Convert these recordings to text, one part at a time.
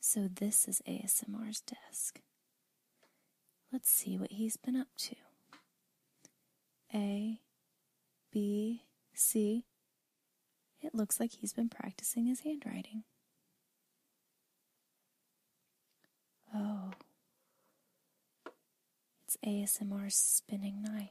So this is ASMR's desk. Let's see what he's been up to. A, B, C. It looks like he's been practicing his handwriting. Oh. It's ASMR's spinning knife.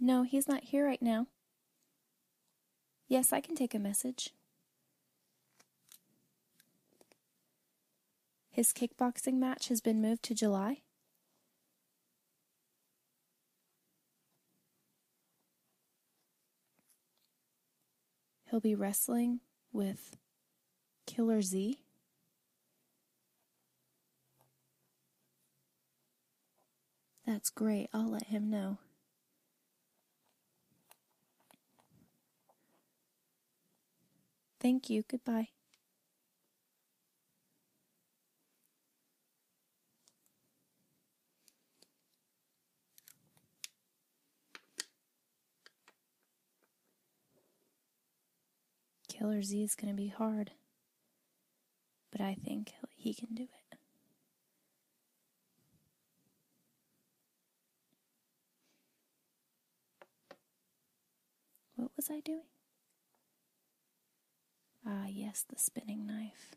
No, he's not here right now. Yes, I can take a message. His kickboxing match has been moved to July? He'll be wrestling with Killer Z? That's great. I'll let him know. Thank you. Goodbye. Killer Z is going to be hard. But I think he can do it. What was I doing? Ah, yes, the spinning knife.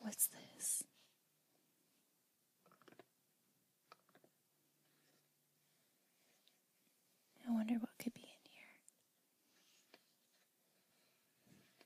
What's this? I wonder what could be in here.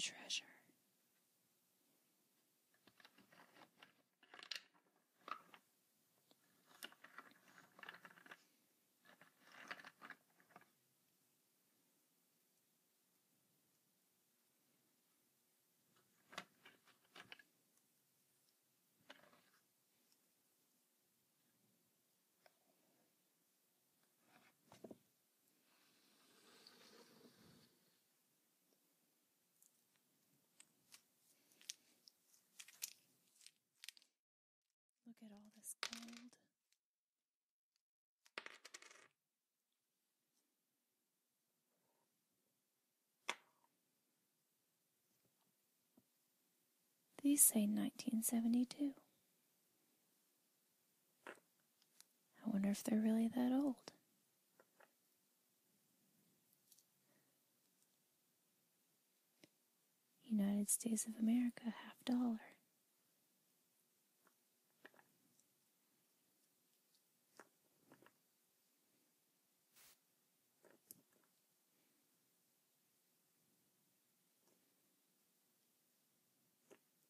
treasure. Look at all this gold. These say 1972. I wonder if they're really that old. United States of America, half dollar.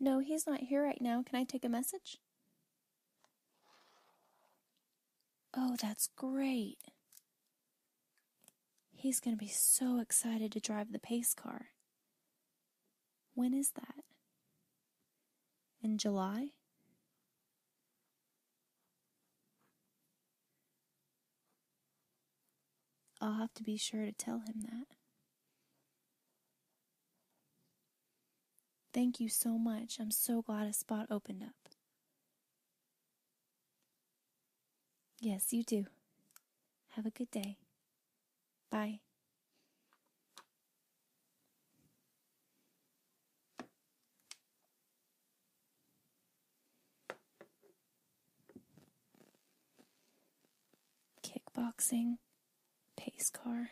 No, he's not here right now. Can I take a message? Oh, that's great. He's going to be so excited to drive the pace car. When is that? In July? I'll have to be sure to tell him that. Thank you so much. I'm so glad a spot opened up. Yes, you do. Have a good day. Bye. Kickboxing. Pace car.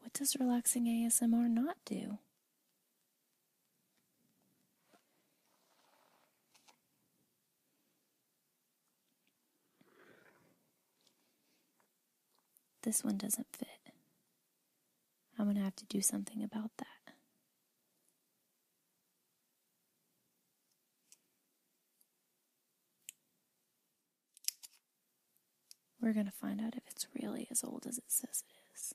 What does relaxing ASMR not do? This one doesn't fit. I'm going to have to do something about that. We're going to find out if it's really as old as it says it is.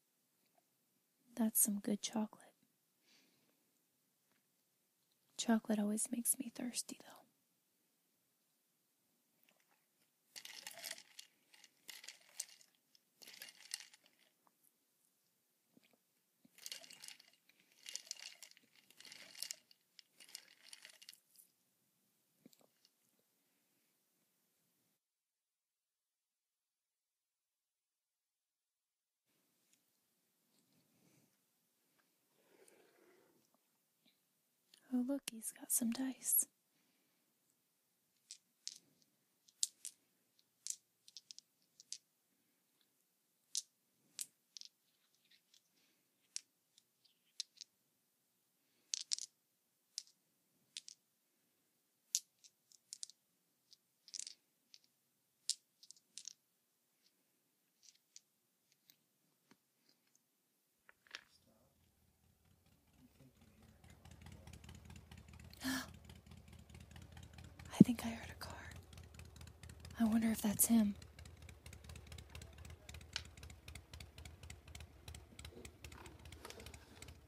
That's some good chocolate. Chocolate always makes me thirsty, though. Oh, look, he's got some dice. I think I heard a car. I wonder if that's him.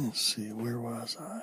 Let's see, where was I?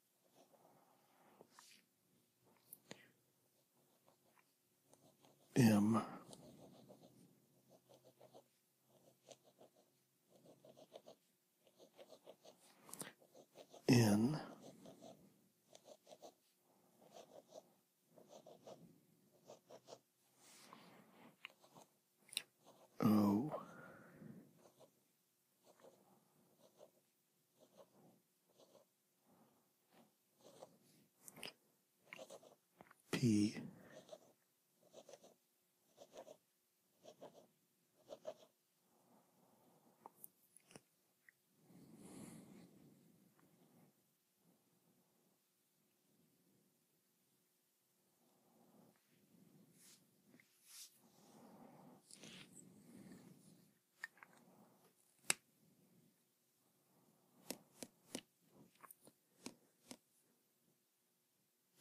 M N O P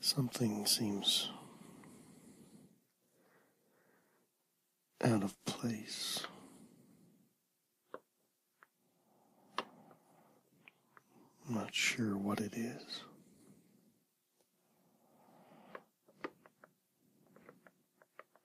Something seems out of place. I'm not sure what it is.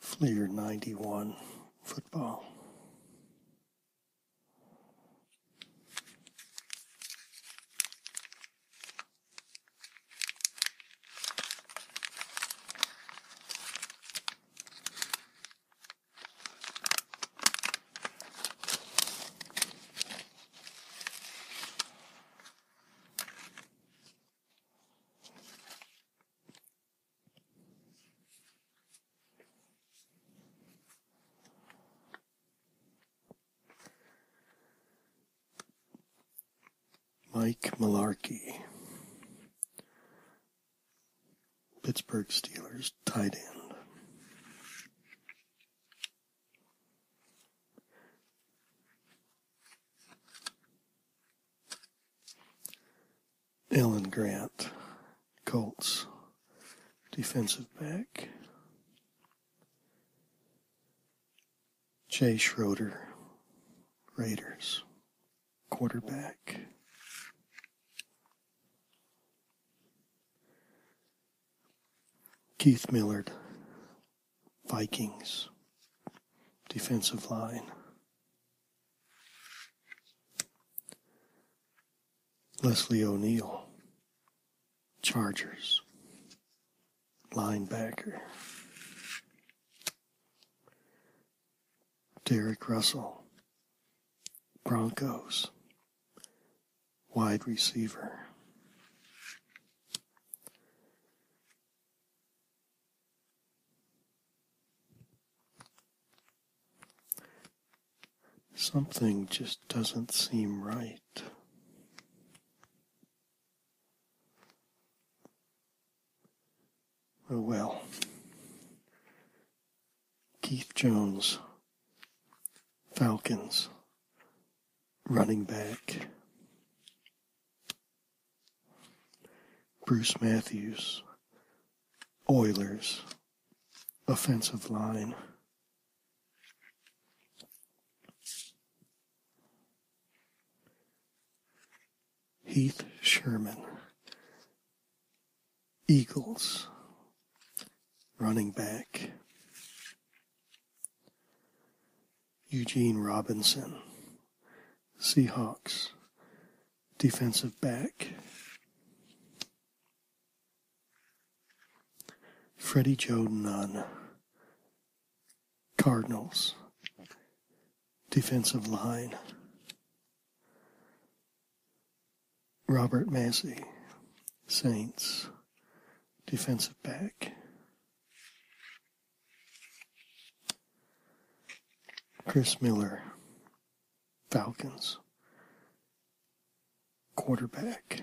Fleer 91 football. Mike Malarkey Pittsburgh Steelers tight end. Ellen Grant, Colts, defensive back. Jay Schroeder, Raiders, quarterback. Keith Millard, Vikings, defensive line. Leslie O'Neill, Chargers, linebacker. Derek Russell, Broncos, wide receiver. Something just doesn't seem right. Oh well, Keith Jones, Falcons, running back. Bruce Matthews, Oilers, offensive line. Heath Sherman, Eagles running back Eugene Robinson, Seahawks defensive back Freddie Joe Nunn, Cardinals defensive line. Robert Massey, Saints, defensive back. Chris Miller, Falcons, quarterback.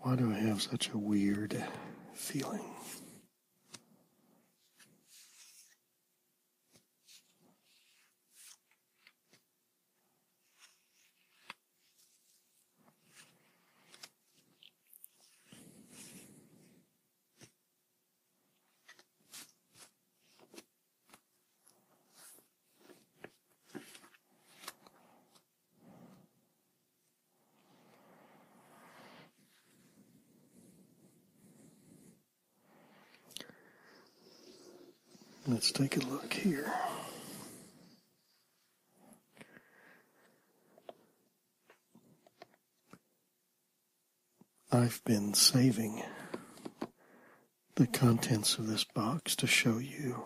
Why do I have such a weird feeling? Let's take a look here. I've been saving the contents of this box to show you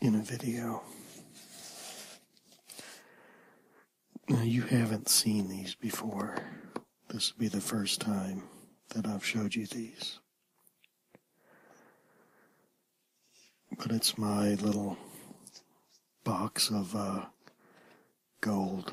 in a video. you haven't seen these before. This will be the first time that I've showed you these. But it's my little box of uh, gold.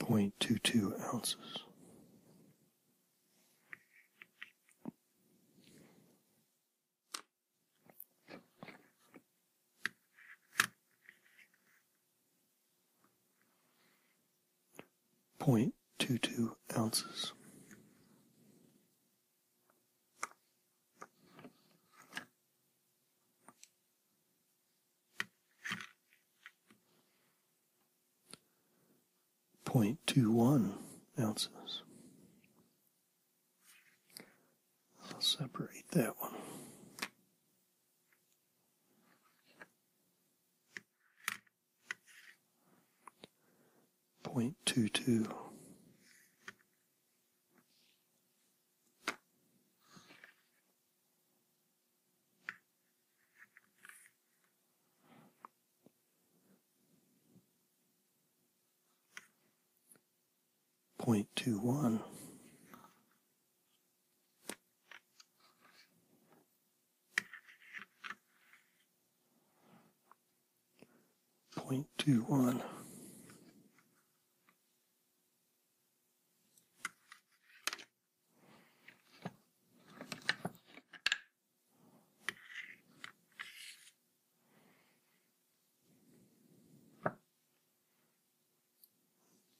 0.22 ounces. Point two two ounces. 0.21 ounces. I'll separate that one. 0.22. Point two one. Point two one.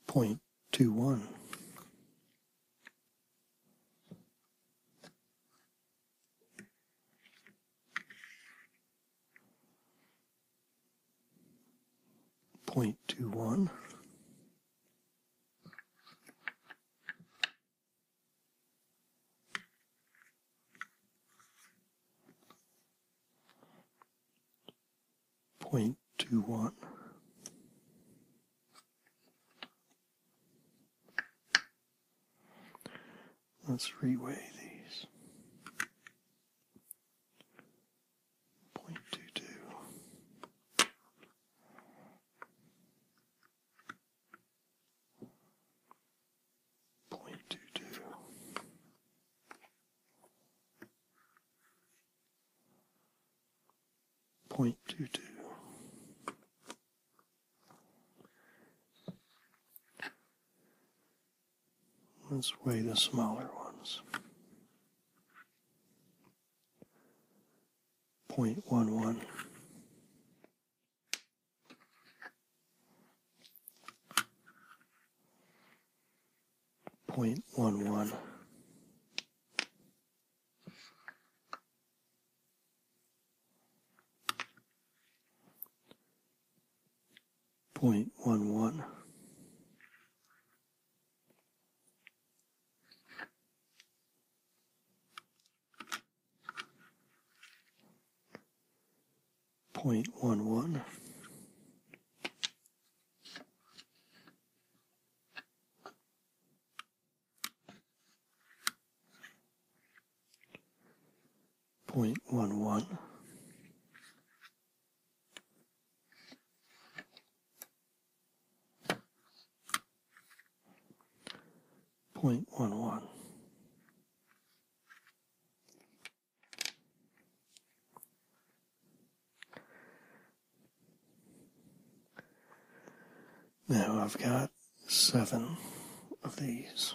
Point two one. 0.21. Point two one. Let's reweigh these point two two. Point two two. Point two two. Let's weigh the smaller ones. 0.11. Point one one. 0.11. Point one one. Point one one. Point one one. Now I've got seven of these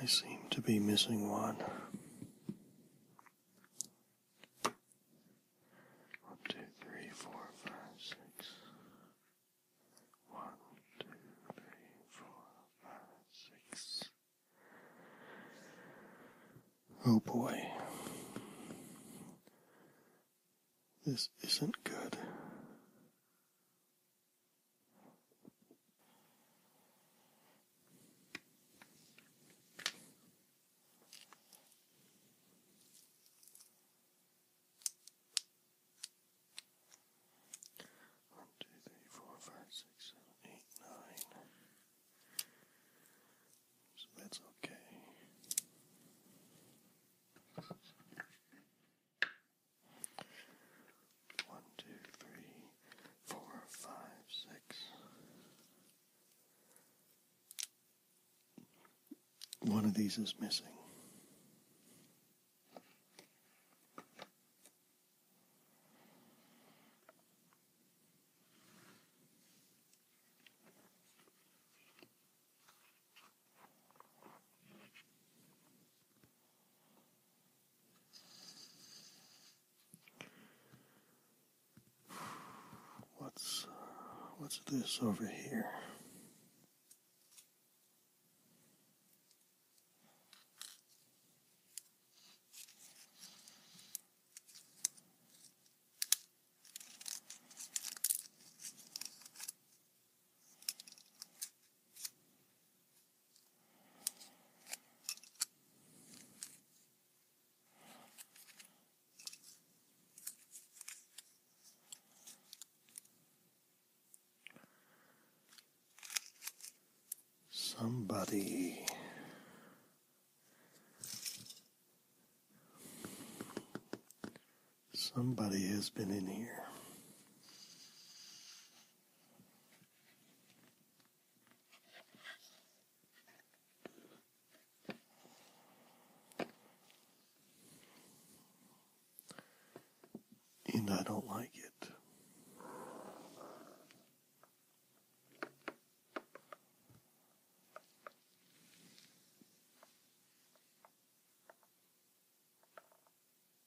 I seem to be missing one. One, two, three, four, five, six. One, two, three, four, five, six. Oh boy. This isn't good. One, two, three, four, five, six, seven, eight, nine. So that's okay. One, two, three, four, five, six. One of these is missing. What's what's this over here? Somebody Somebody has been in here. And I don't like it.